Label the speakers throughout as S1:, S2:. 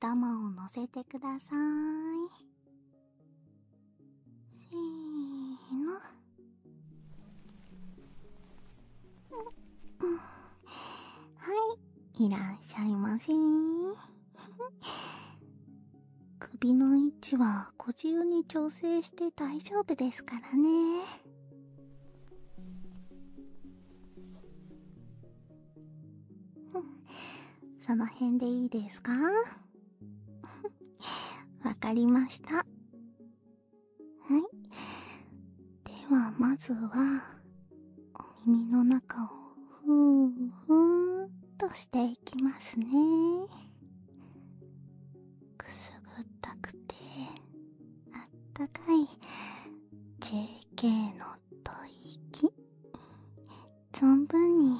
S1: 頭を乗せてくださいせーのはいいらっしゃいませ 首の位置はご自由に調整して大丈夫ですからね その辺でいいですか わかりました。はい。では、まずは、お耳の中をふーふーとしていきますね。くすぐったくて、あったかい JK のと息存分に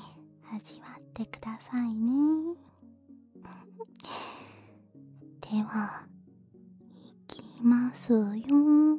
S1: 味わってくださいね ではいきますよ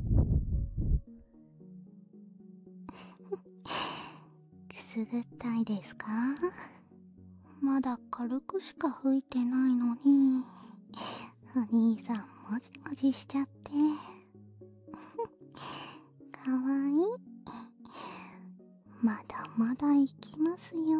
S1: くすぐったいですかまだ軽くしか吹いてないのにお兄さんもじもじしちゃって かわいいまだまだいきますよ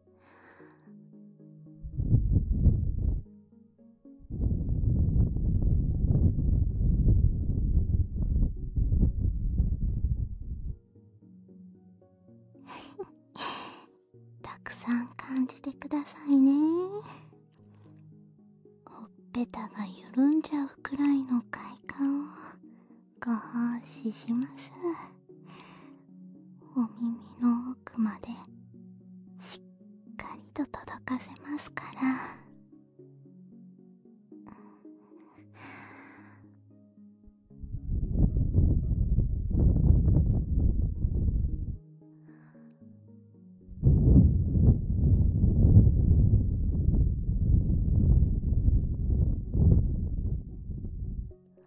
S1: たくさん感じてくださいねほっぺたが緩んじゃうくらいの快感をご奉仕しますお耳の奥までしっかりと届かせますから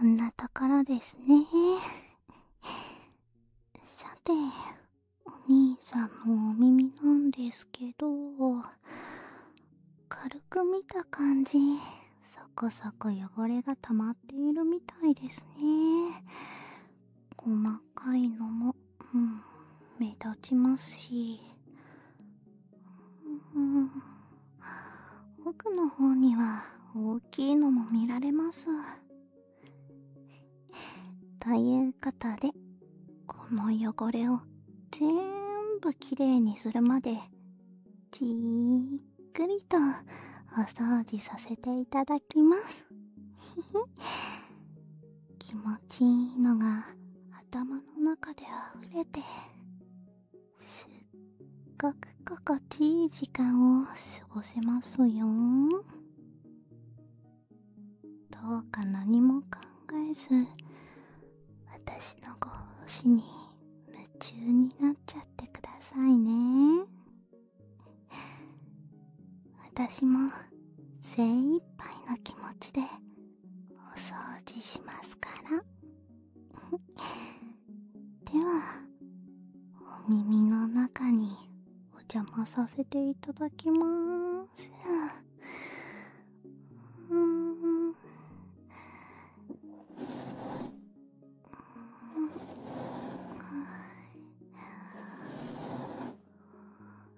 S1: こんなところですね。さて、お兄さんもお耳なんですけど、軽く見た感じ、そこそこ汚れが溜まっているみたいですね。細かいのもうん、目立ちますし、うん、奥の方には大きいのも見られます。ということで、この汚れを全部きれいにするまで、じっくりとお掃除させていただきます。気持ちいいのが頭の中で溢れてすっごく心地いい時間を過ごせますよどうか何も考えず私のご奉仕に夢中になっちゃってくださいね私も精一杯の気持ちでお掃除しますから ではお耳の中にお邪魔させていただきまーすうーんんあ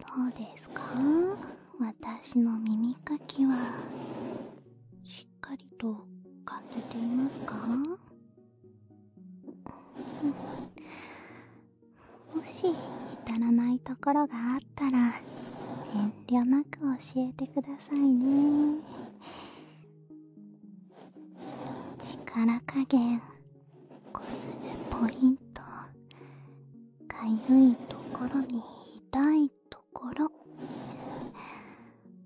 S1: どうですか私の耳かきはしっかりと感じていますかもし至らないところがあったら遠慮なく教えてくださいね力加減こするポイントかゆいところに痛いところ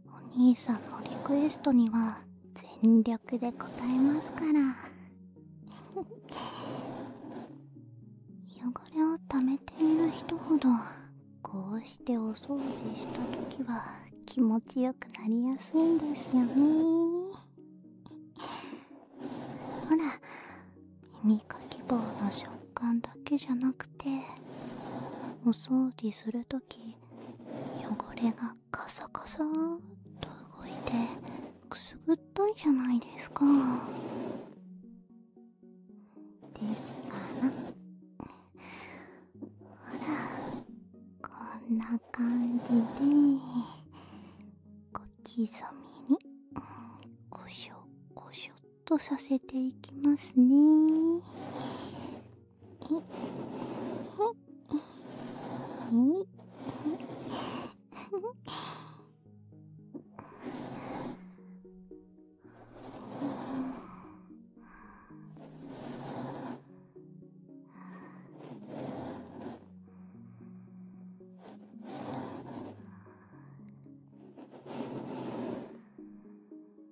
S1: お兄さんのリクエストには全力で応えますから 汚れを溜めている人ほどこうしてお掃除した時は気持ちよくなりやすいんですよね ほら耳かき棒の食感だけじゃなくてお掃除するとき汚れがカサカサっと動いてくすぐったいじゃないですかですからほらこんな感じで小刻みにこしょこしょと…とさせていきますね。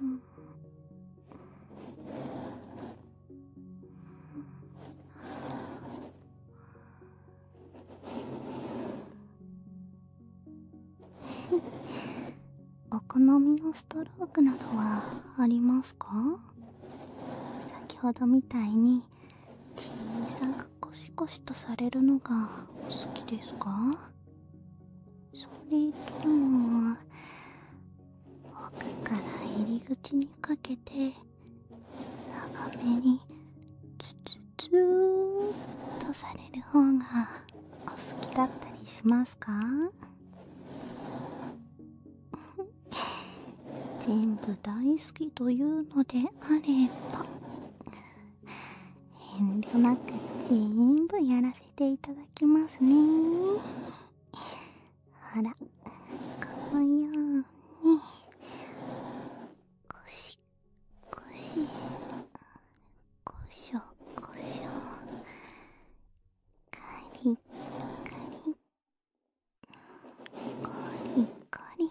S1: うん。お好みのストロークなどはありますか先ほどみたいに小さくコシコシとされるのがお好きですかそれとも奥から入り口にかけて長めにツツツーっとされる方がお好きだったりしますか 全部大好きというのであれば遠慮なくぜんぶやらせていただきますねほらこのようにこしこしこしょこしょカリカリコリコリ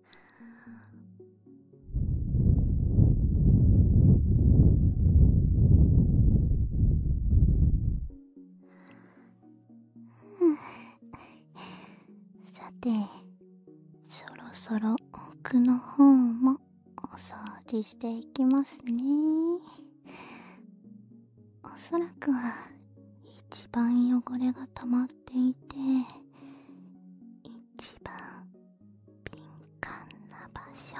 S1: はあ。さてそろそろ奥の方もお掃除していきますねおそらくは一番汚れが溜まっていて一番敏感な場所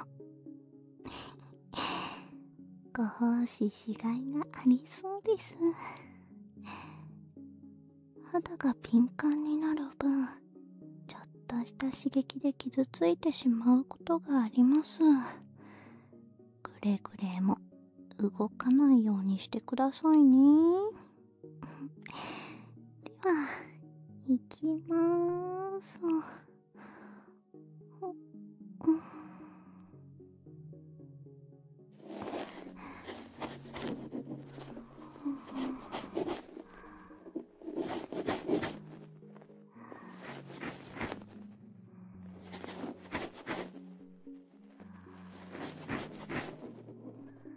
S1: ご奉仕しがいがありそうです肌が敏感になる分ちょっとした刺激で傷ついてしまうことがありますくれぐれも動かないようにしてくださいねでは、いきまーす。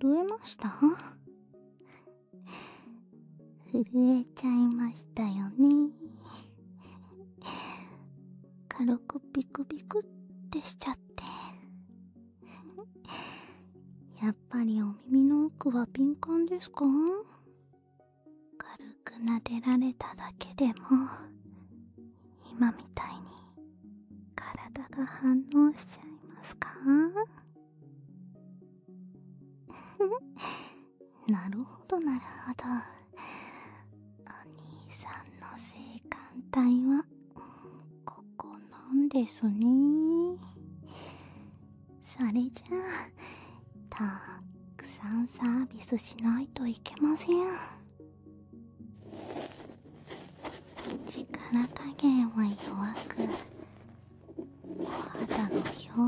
S1: 震えました 震えちゃいましたよね軽くビクビクってしちゃって やっぱりお耳の奥は敏感ですか軽く撫でられただけでも今みたいに体が反応しちゃいますか なるほどなるほどお兄さんの性感帯はここなんですねそれじゃあたくさんサービスしないといけません力加減は弱くお肌の表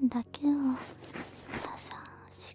S1: 面だけを優しく。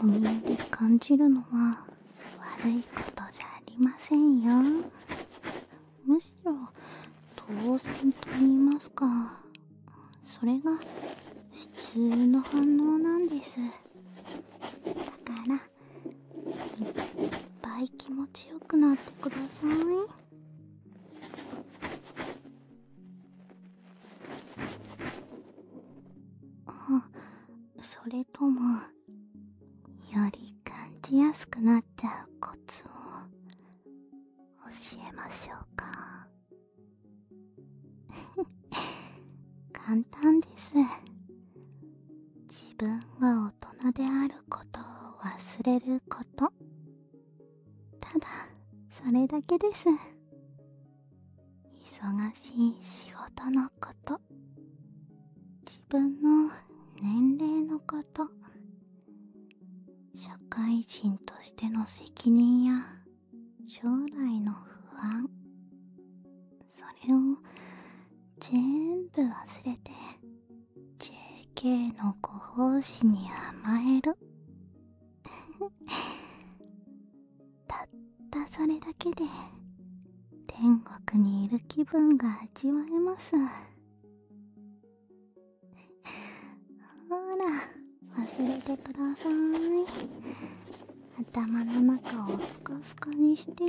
S1: こんなに感じるのは悪いことじゃありませんよむしろ当然と言いますかそれが普通の反応なんですだからいっぱい気持ちよくなってくださいあそれともより感じやすくなっちゃうコツを教えましょうか 簡単です自分が大人であることを忘れることただそれだけです忙しい仕事のこと自分の年齢のこと社会人としての責任や将来の不安それを全部忘れて JK のご奉仕に甘える たったそれだけで天国にいる気分が味わえます ほら忘れてください頭の中をスカスカにして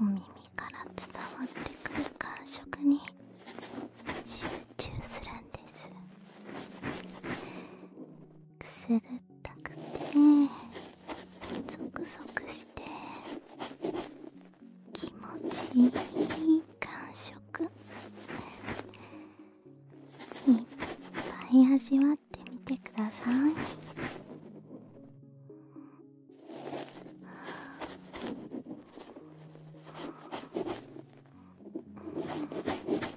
S1: お耳から伝わってくる感触に集集するんですくすぐったくてぞくぞくして気持ちいい感触いっぱい味わってみてくださいは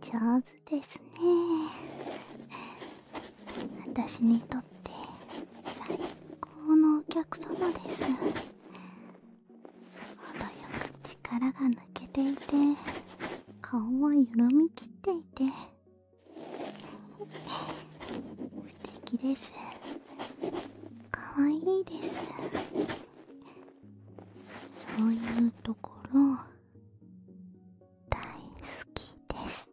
S1: 上手ですね私にとって最高のお客様です程よく力が抜けていて顔は緩みきっていて素敵です可愛いですそういうところ大好きです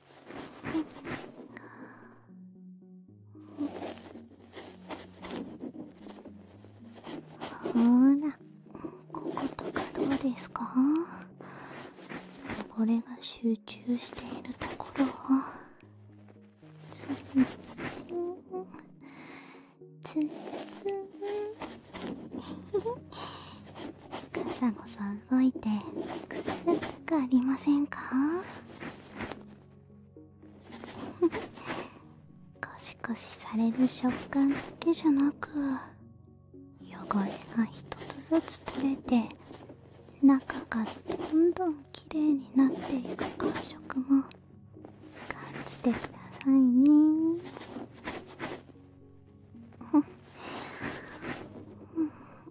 S1: っ、ほらこことかどうですか汚れが集中しているところをツンツンツンツンガサゴサ動いてくすぐったくありませんかふふ、コシコシされる食感だけじゃなく汚れが一つずつ取れて中がどんどんきれいになっていく感触も感じてくださいねうん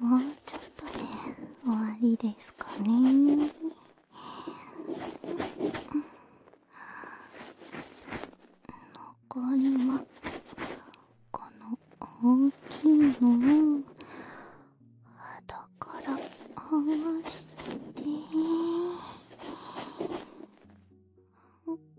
S1: もうちょっとで終わりですかね残りはこの大きいのを肌から合わして。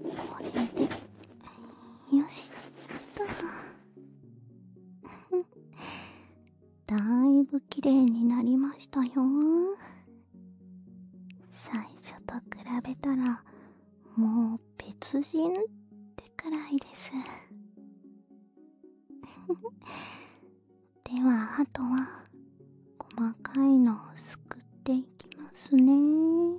S1: これでよしとだいぶ綺麗になりましたよ最初と比べたらもう別人ってくらいです ではあとは細かいのをすくっていきますねうん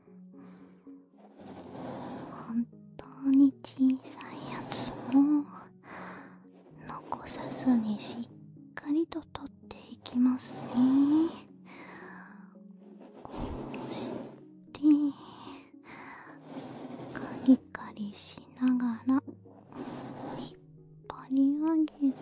S1: 本当に小さいやつも残さずにしっかりと取っていきますねこうしてカリカリしながら引っ張り上げて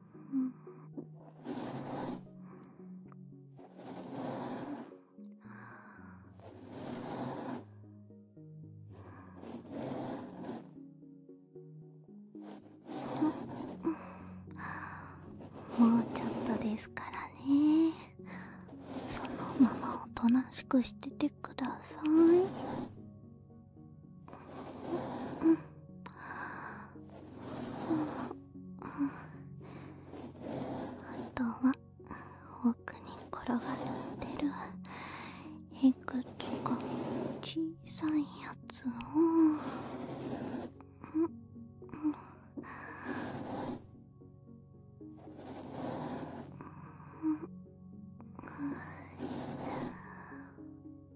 S1: ん。もうちょっとですからねそのままおとなしくしててください、うん布団は奥に転がってるいくつか小さいやつを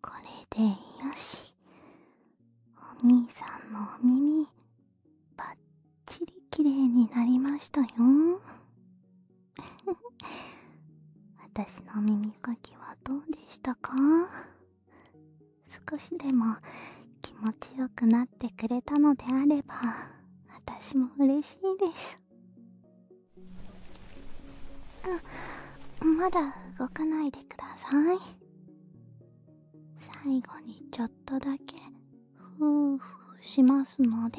S1: これでよしお兄さんのお耳ばっちりきれいになりましたよ 私の耳かきはどうでしたか少しでも気持ちよくなってくれたのであれば私も嬉しいですあまだ動かないでください最後にちょっとだけふーふーしますので。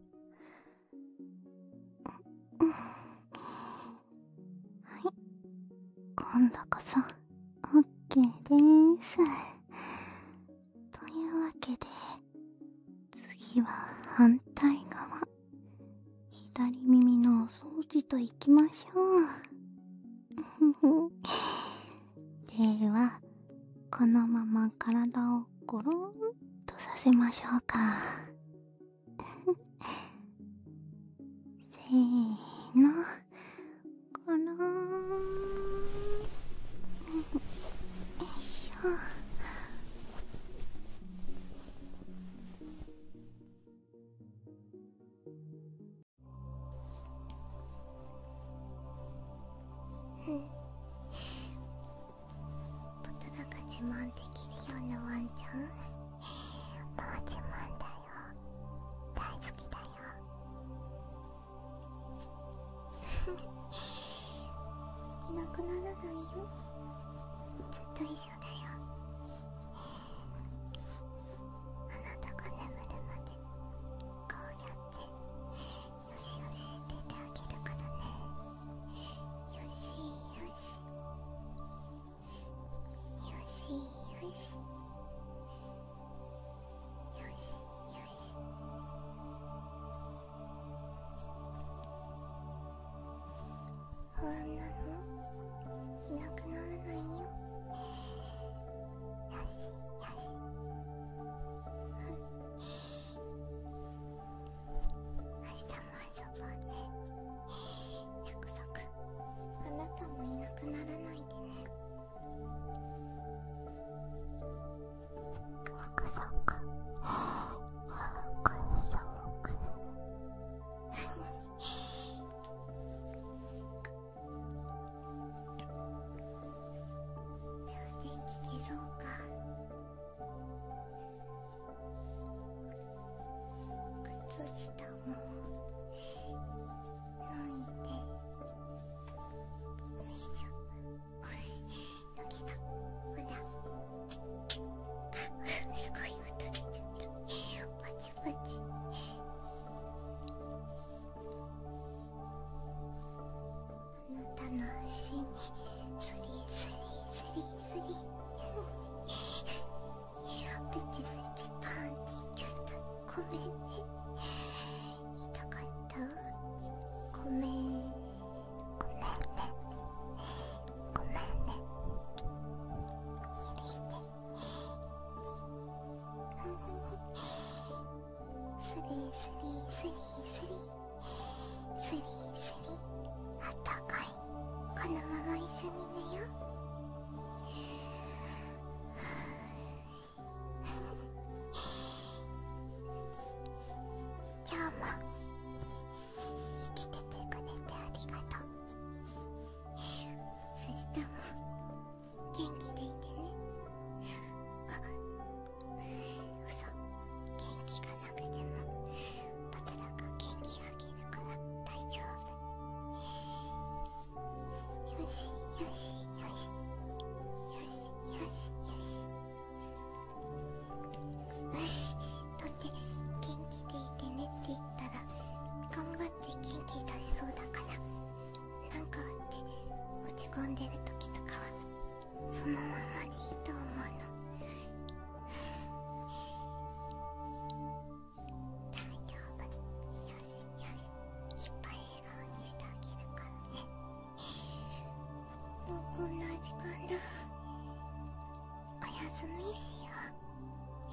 S1: はい今度こそ OK でーすというわけで次は反対側左耳のお掃除といきましょうではこのまま体をゴロンとさせましょうか せーのゴロンよいしょうん僕が自慢できるようなワンちゃんもう自慢だよ大好きだよいなくならないよずっと一緒だよあなたが眠るまでこうやってしよし出てあげるからねよしよしよしよしよしよし不安なのいなくならないよよしよしうん明日も遊ぼうね約束あなたもいなくならないでね約束約束じゃあ電気消そうか靴下も脱いで脱いしょだけど、ほらあすごい音出ちゃったパチパチあなたの足にスリスリスリスリペチパンっちょっとごめんね痛かったごめんごめんねごめんね許してスリスリスリスリスリスあったかいこのまま一緒に寝よう今日も生きててくれてありがとう明日も元気でいてねあ嘘元気がなくてもバトラが元気あげるから大丈夫よしよしよしよしよしよしだって元気でいてねって言ったら頑張って元気出しそうだからなんかあって落ち込んでる時とかはそのままでいいと思うの大丈夫よしよしいっぱい笑顔にしてあげるからねもうこんな時間だおやすみしよう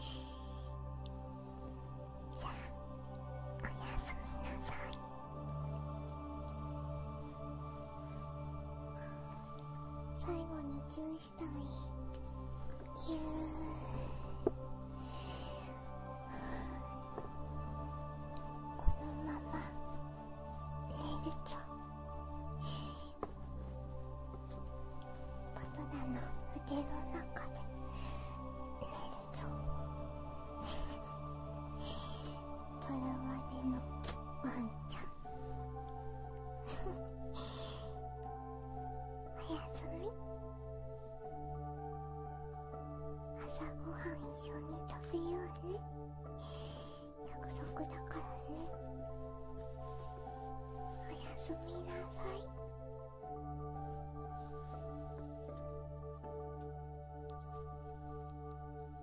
S1: じゃあおやすみなさい最後にキューしたいキューこのまま寝るぞバナナの腕の中で寝るぞとらわれのワンちゃん おやすみ朝ごはん一緒に食べようね約束だからねおやすみなさいお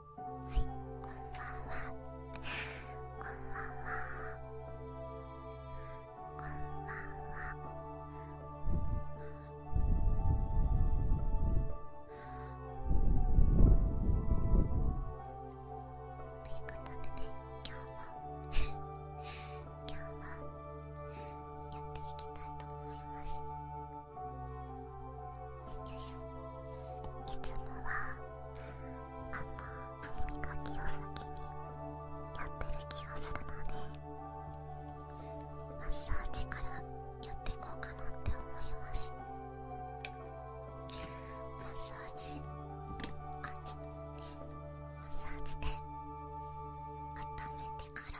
S1: はい、こんばんは。こんばんは。こんばんは。ということでね、今日も 今日もやっていきたいと思います。いつもはあの歯磨きを先にやってる気がするのでマッサージからやっていこうかなって思いますマッサージあっちねマッサージで温めてから。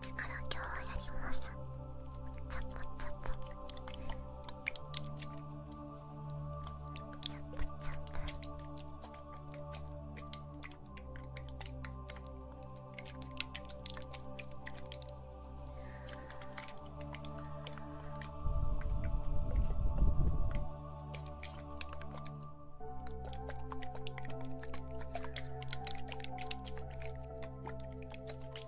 S1: ちから今日はやりますザポザポザポザポ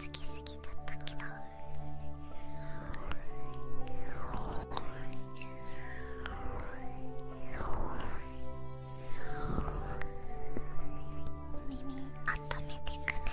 S1: つきすぎちゃったけど耳温めてくね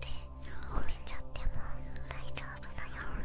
S1: で折れちゃっても大丈夫だよ「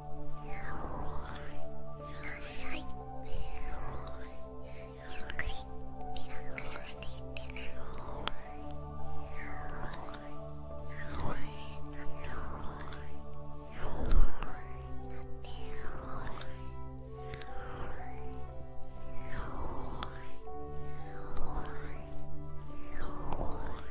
S1: さいゆっくりリラックスしていってねお